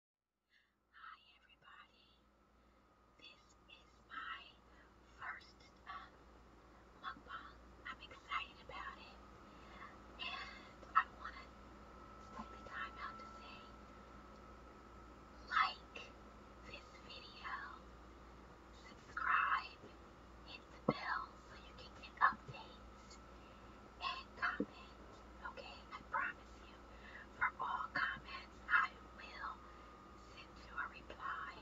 Hi everybody. This is my first um, mukbang. I'm excited about it. And I want to take the time out to say like this video, subscribe, hit the bell so you can get updates and comments. Okay, I promise you. For all comments, I will send you a reply.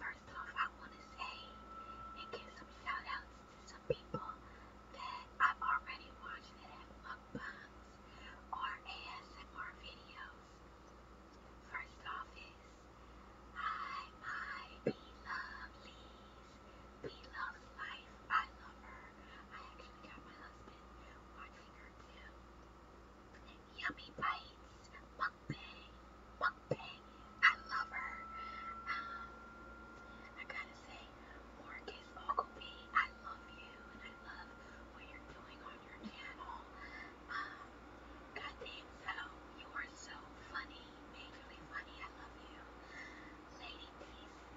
First off, I want to say and give some shout outs to some people that I've already watched that have mukbangs or ASMR videos. First off is Hi, my Be Lovelies. Be Loves Life. I love her. I actually got my husband watching her too. Yummy bites, mukbang, mukbang. I love her. Um, I gotta say, Marcus Ogilvy, I love you and I love what you're doing on your channel. Um, goddamn, so you are so funny, majorly funny. I love you, Lady Peace.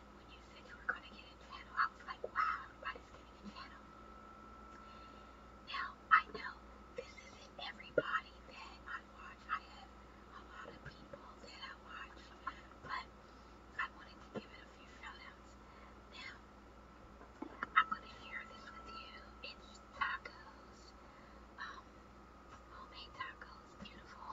when you said you were going to get a channel, I was like, wow, everybody's getting a channel. Now, I know this isn't everybody that I watch. I have a lot of people that I watch, but I wanted to give it a few shout outs. Now, I'm going to share this with you. It's tacos, um, homemade tacos, beautiful.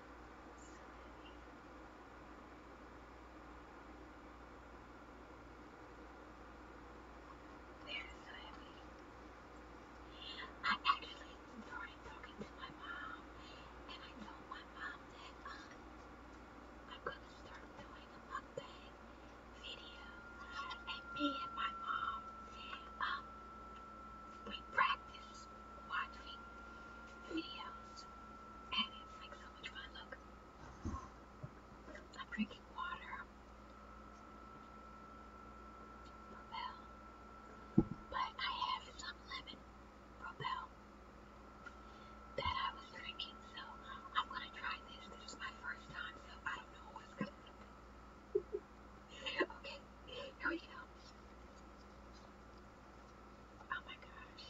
They're so heavy. I actually started talking to my mom, and I told my mom that um, I'm gonna start doing a mukbang video, and me and my mom, um, we practice just watching videos, and it's like so much fun. Look, I'm drinking water. Propel, but I have some lemon Propel that I was drinking, so I'm gonna try this. This is my first time, so I don't know what's gonna happen. Okay, here we go. Oh my gosh.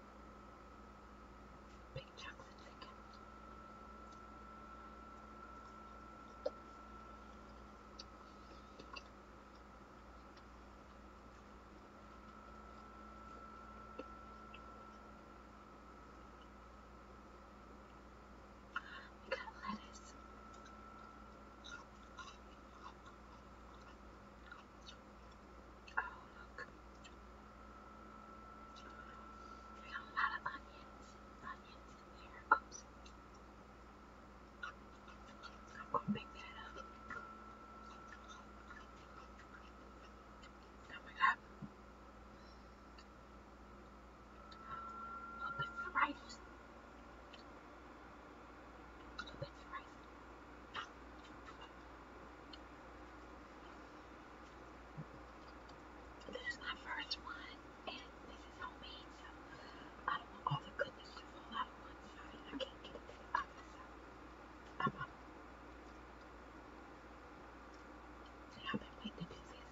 Big chocolate chicken. We got lettuce. Oh, look. We got a lot of onions. Onions in here. Oops. I'm going to pick that up. Oh my god. I'll pick the rice a little bit fried. This is my first one, and this is homemade, so I don't want all the goodness to fall out on one side. I can't get it to the other side. I'm up. See, I've been waiting to do this.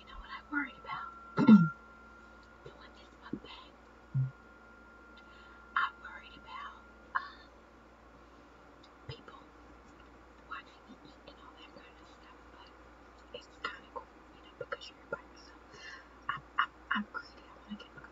You know what I worried about? Doing this mukbang. I worried about um, people watching me eat and all that kind of stuff, but it's kind of cool, you know, because you're by yourself. I'm, I'm, I'm greedy. I want to get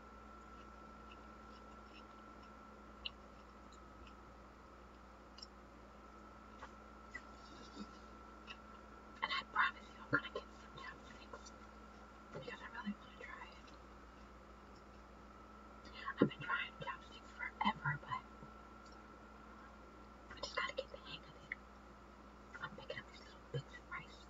And I promise you, I'm gonna get some chopsticks because I really want to try it. I've been trying chopsticks forever, but I just gotta get the hang of it. I'm picking up these little bits of rice.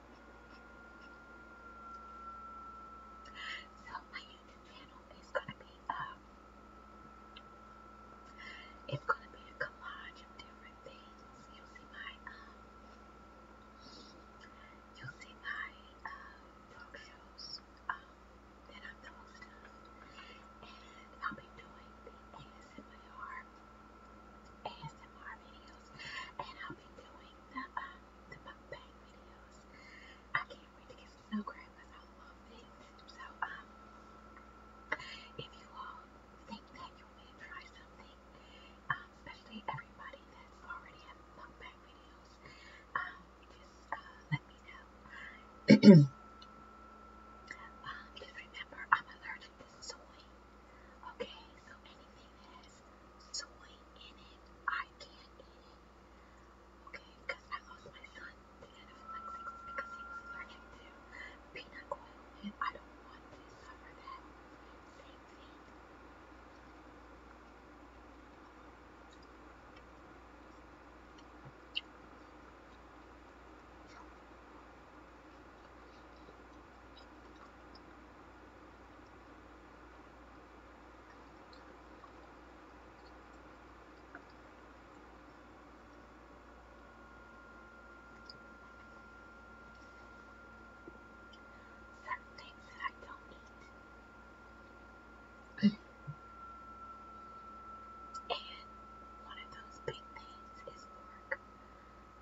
So my YouTube channel is gonna be um it's gonna be a collage of different things. You'll see my um you'll see my uh talk shows um that I'm the host of and I'll be doing the ASMR ASMR videos, and I'll be doing the um, the mukbang videos. I can't wait to get some snow crab because I love it. So um, if you all think that you want me to try something, um, especially everybody that's already have mukbang videos, um, just uh, let me know. um, just remember, I'm allergic to soy. Okay, so anything that has soy in it, I can't eat it. Okay, because I lost my son to anaphylaxis because he was allergic to peanut oil, and I don't want to suffer that same thing. Certain things that I don't eat. and one of those big things is pork.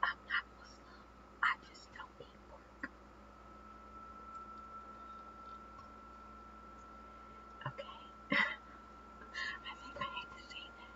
I'm not I was love. I just don't eat pork. Okay. I think I need to say that.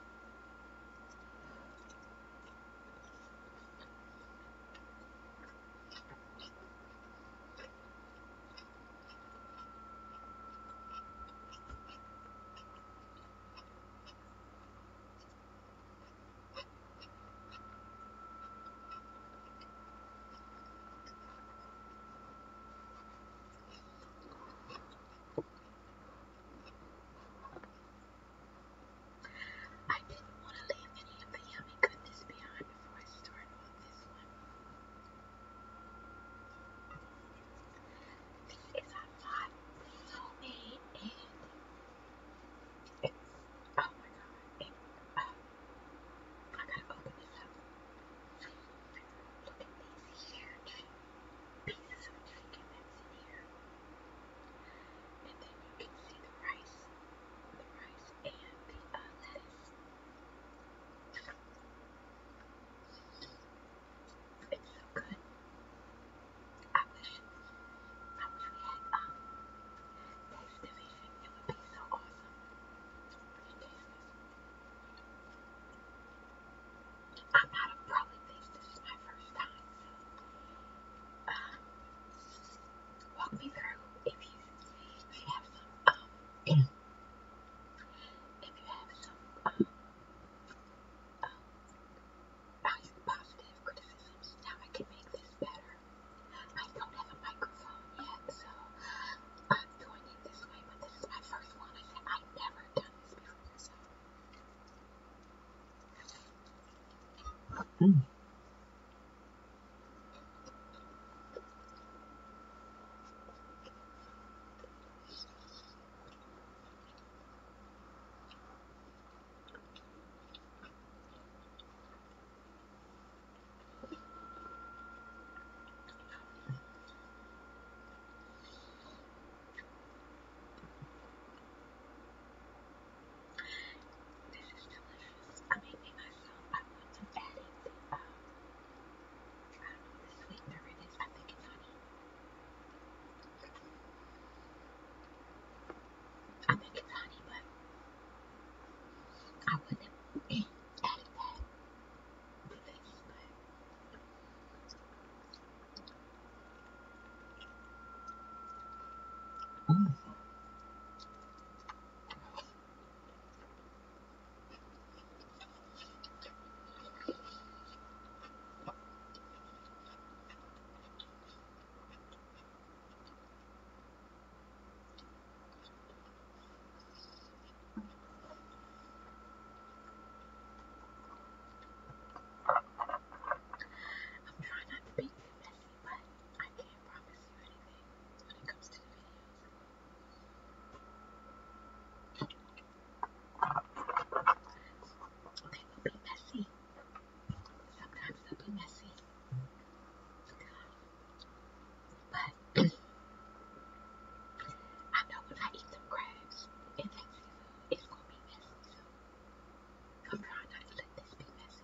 I didn't want to leave any of the yummy goodness behind before I started on this one. These are not homemade and it's, oh my god, it, uh, I gotta open this up. Look at these huge pieces of chicken that's in here. And then you can see the rice, the rice and the uh, lettuce. It's so good. I wish, I wish we had um, Taste Division. It would be so awesome. You taste this. I'm not a pro at taste. This is my first time. So, uh, walk me through if you, if you have some. Um, if you have some. Um, um, I have positive criticisms. Now I can make this better. I don't have a microphone yet, so I'm doing it this way, but this is my first one. I said I've never done this before, so. Mm. This is delicious. I'm eating myself. I want some patties. Um, I don't know what the sweetener it is. I think it's honey. I think it's honey, but I wouldn't have added that. Please, but Mm. I'm trying not to be too messy, but I can't promise you anything when it comes to the videos. They will be messy. Sometimes they'll be messy. But I know when I eat some crabs and things, it's going to be messy. So I'm trying not to let this be messy.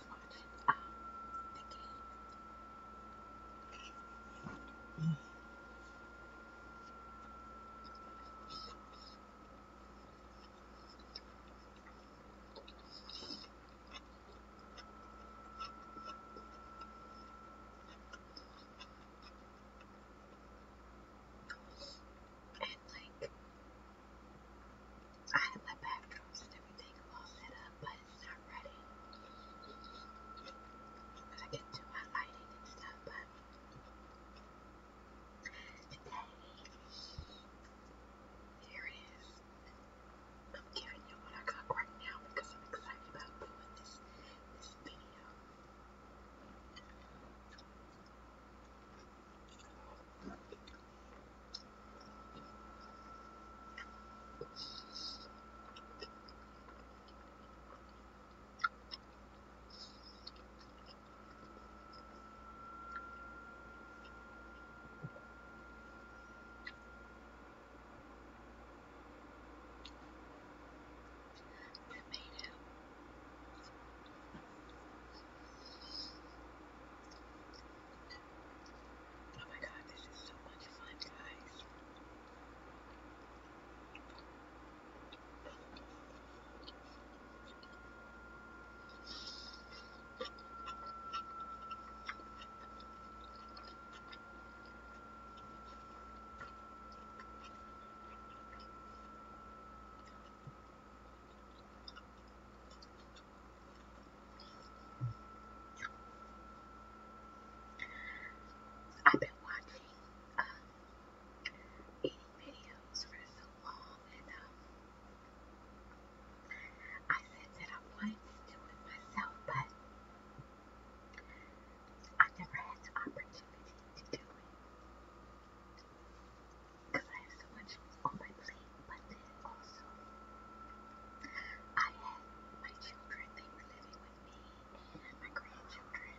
started out And like I had my backdrops and everything all set up, but it's not ready. But I can do my lighting and stuff, but today, here it is. I'm giving you what I got right now because I'm excited about doing this, this video. Tomato. Oh my god, this is so much fun, guys. I've been watching um, uh, eating videos for so long, and um, I said that I wanted to do it myself, but I never had the opportunity to do it because I have so much on my plate, but then also I had my children, they were living with me and my grandchildren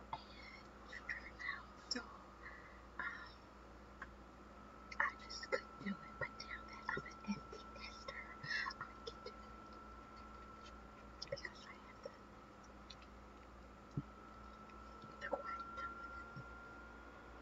and children now, so um, I just couldn't do it, but now that I'm an empty nester, I can do it because I have the the quiet time.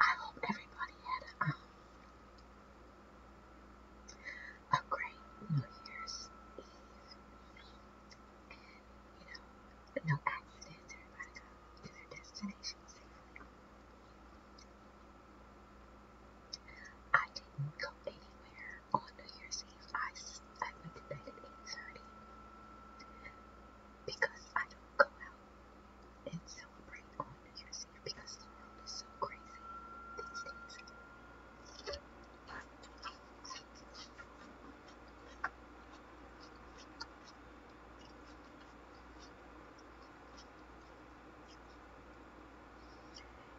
I hope everybody had um, a, great New Year's you know, no accidents. Everybody got to their destination I didn't go anywhere on New Year's Eve. I, I went to bed at 8.30 because I don't go out and celebrate on New Year's Eve because the world is so crazy these days.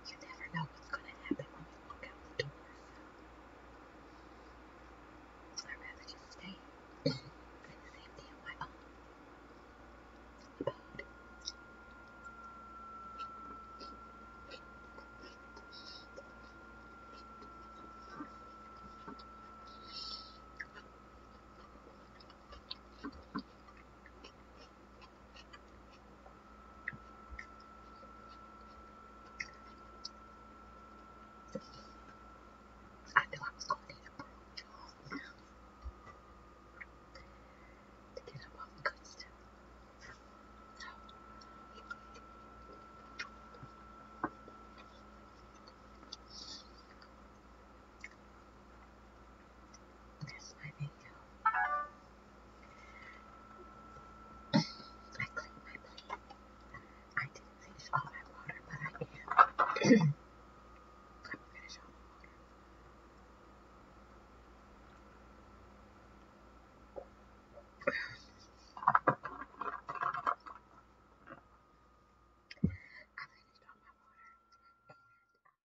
You never know what's going to happen when you look out the door. I'd rather just stay in the safety of my own abode. I knew I was going to need a broom job to get up off good stuff. There's I cleaned my plate. I finish all my water, but I can. i finish all my water.